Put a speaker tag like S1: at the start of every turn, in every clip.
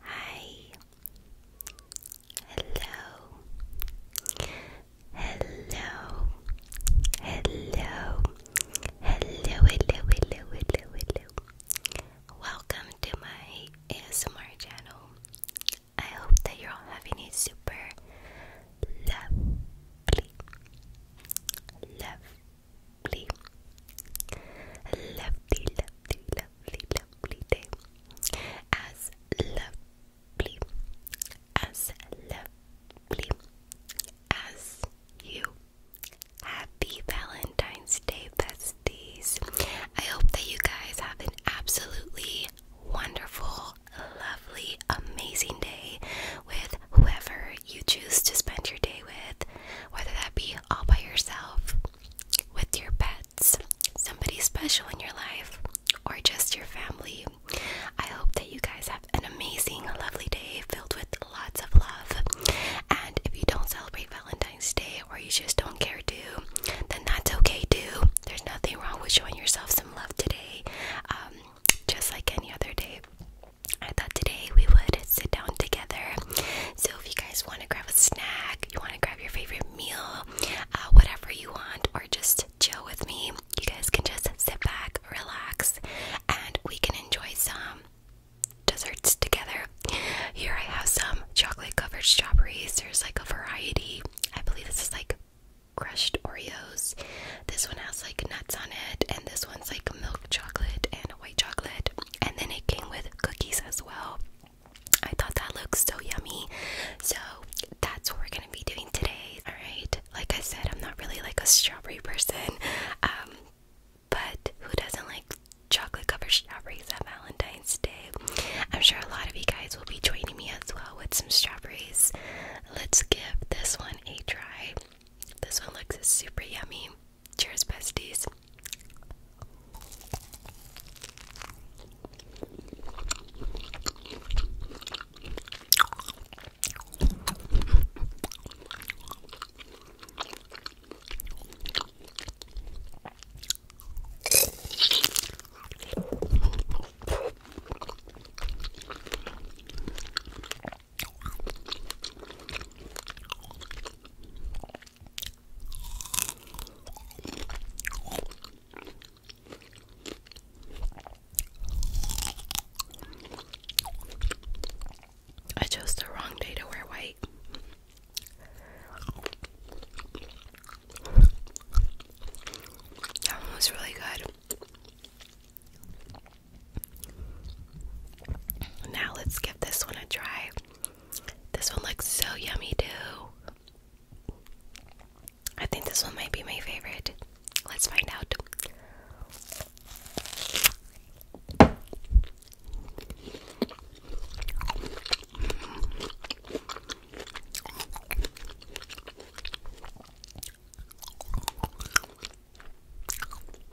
S1: Hi. Hello. Hello. Hello. Hello, hello, hello, hello, hello. Welcome to my ASMR channel. I hope that you're all having a super lovely, lovely, lovely, lovely, lovely, lovely, day. As lovely, as lovely as you. Happy Valentine's Day, besties. I hope that you guys have an absolutely wonderful, lovely, amazing day with whoever you choose to spend your day with, whether that be all by yourself, with your pets, somebody special in your life, or just your family. I hope that you guys have an amazing, lovely day filled with lots of love. And if you don't celebrate Valentine's Day or you just don't care to, then that's okay too. There's nothing wrong with showing yourself some love today, um, just like any other day. I thought today we would sit down together, so if you guys want to grab a snack, you want to grab your favorite meal, uh, whatever you want, or just chill with me, you guys can just sit back, relax, and we can enjoy some desserts together. Here I have some chocolate covered strawberries. There's like a variety. I believe this is like crushed Oreos. This one has like nuts on it, and this one's like milk chocolate and white chocolate, and then it came with cookies as well. I thought that looked so yummy, so that's what we're gonna be doing today. All right, like I said, I'm not really like a strawberry person, um, but who doesn't like chocolate covered strawberries at Valentine's Day? I'm sure a lot of you guys will be joining me as well with some strawberries. Let's give this one a try. This one looks super yummy. Cheers, besties. I chose the wrong day to wear white. That one was really good. Now let's give this one a try. This one looks so yummy too. I think this one might be my favorite. Let's find out.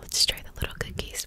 S1: Let's try the little cookies.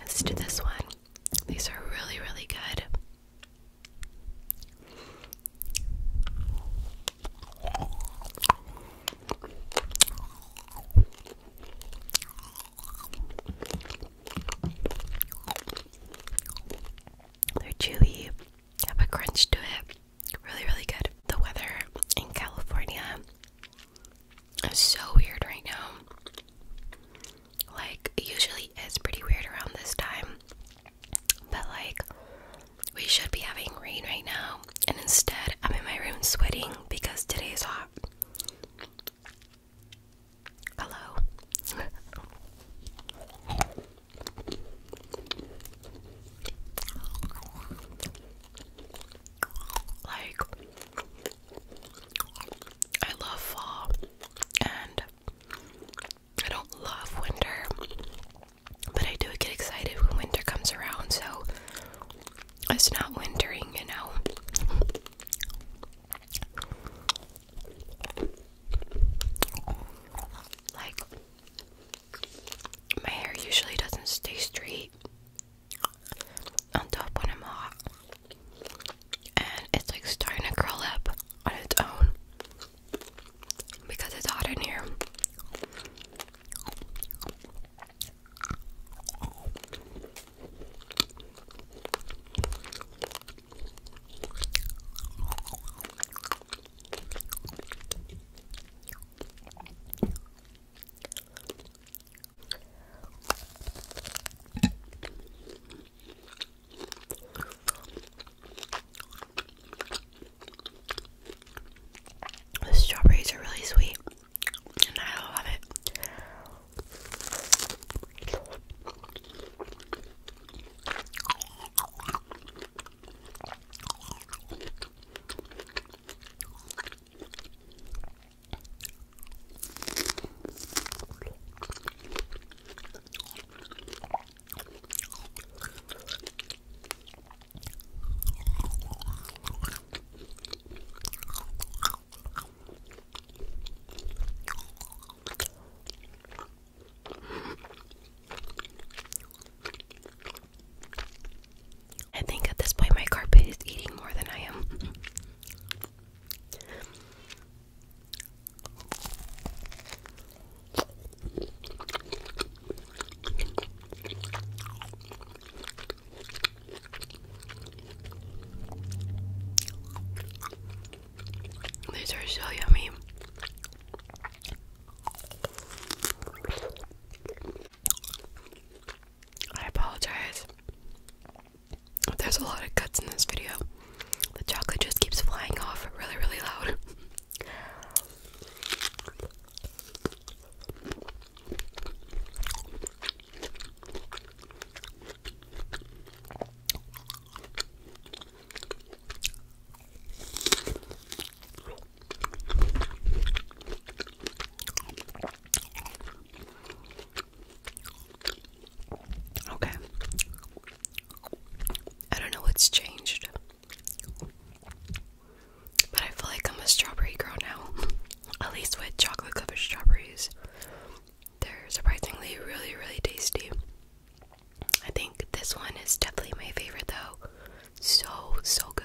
S1: Let's do this one. These are really, really good. They're chewy, have a crunch to it. Really, really good. The weather in California is so weird right now. Like, usually it's pretty weird around this time. But, like, we should be having rain right now. And instead, I'm in my room sweating because today is hot. Hello. like I love fall and I don't love winter, but I do get excited when winter comes around, so it's not wintering, you know. Like, my hair usually doesn't stay straight on top when I'm hot. And it's like starting to curl up on its own because it's hot in here. The strawberries are really sweet and I love it. I think at this point my carpet is eating more than I am. These are so yummy. I apologize. There's a lot of cuts in this video. The chocolate just keeps flying off really, really loud. Okay. I don't know what's changed. But I feel like I'm a strawberry girl now. At least with chocolate covered strawberries. They're surprisingly really, really tasty. I think this one is definitely my favorite though. So, so good.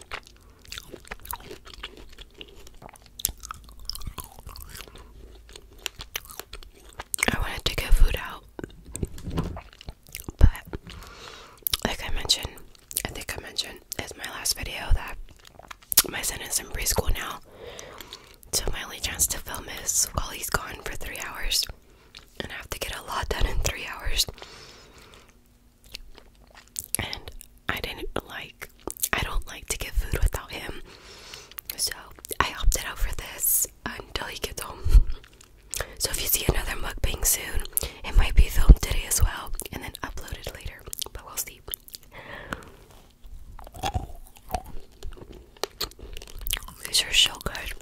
S1: I wanted to get food out, but like I mentioned, I think I mentioned in my last video that my son is in preschool now, so my only chance to film is while he's gone for three hours, and I have to get a lot done in three hours and I didn't like I don't like to get food without him. So I opted out for this until he gets home. So if you see another mukbang soon, it might be filmed today as well and then uploaded later. But we'll see. These are so good.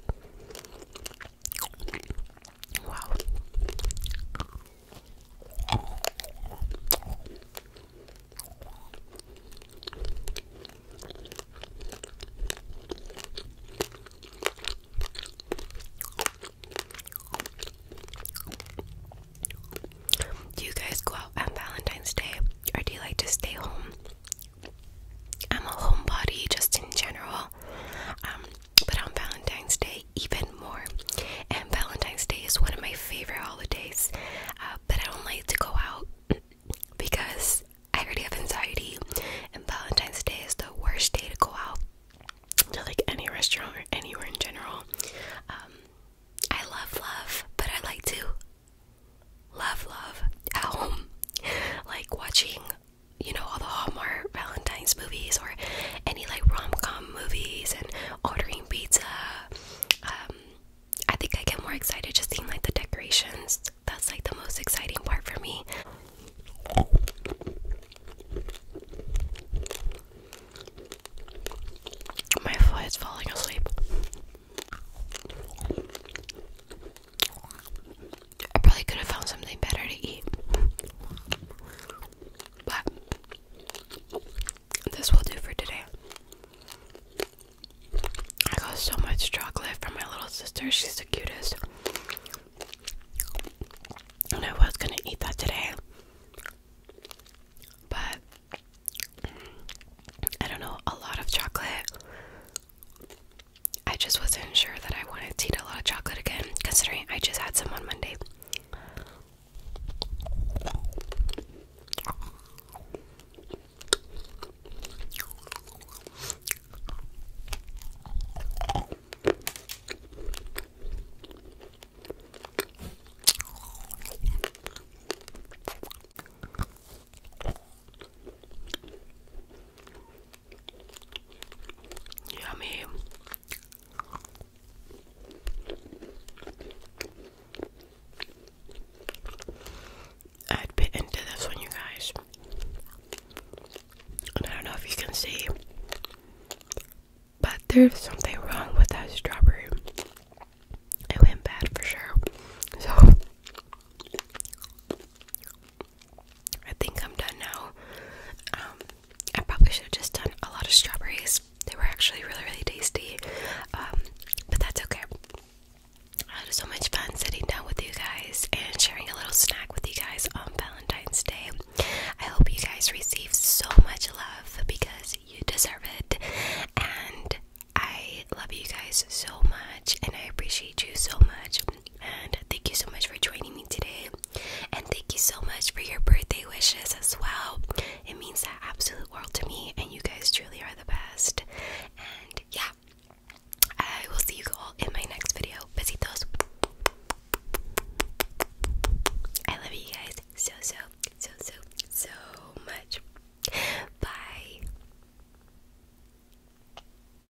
S1: Wow. Do you guys go out on Valentine's Day or do you like to stay home? I'm a homebody just in general. Um, but on Valentine's Day, even more. And Valentine's Day is one of my favorite holidays, uh, but I don't like to go out because I already have anxiety, and Valentine's Day is the worst day to go out to like any restaurant or anywhere in general. Um, I love love, but I like to love love at home, like watching you know, all the Hallmark Valentine's movies or any like rom com movies and ordering pizza. Um, I think I get more excited just seeing like the decorations. That's like the most exciting part for me. My foot is falling asleep. I probably could have found something better to eat. But this will do for today. I got so much chocolate from my little sister. She's the cutest. And I was gonna eat that today. But I don't know, a lot of chocolate I just wasn't sure that I wanted to eat a lot of chocolate again, considering I just had some on Monday. Yummy. I'd bit into this one, you guys. And I don't know if you can see, but there's something wrong with that strawberry. It went bad for sure. So, I think I'm done now. Um, I probably should have just done a lot of strawberries. They were actually really, really tasty. Um, but that's okay. I had so much fun sitting down with you guys and sharing a little snack with you guys on Valentine's Day. I hope you guys receive so much love because you deserve it. And I love you guys so much and I appreciate you so much. And thank you so much for joining me today. And thank you so much for your birthday wishes as well. It means the absolute world to me, and you guys truly are the best. And yeah, I will see you all in my next video. Besitos. I love you guys so, so, so, so, so much. Bye.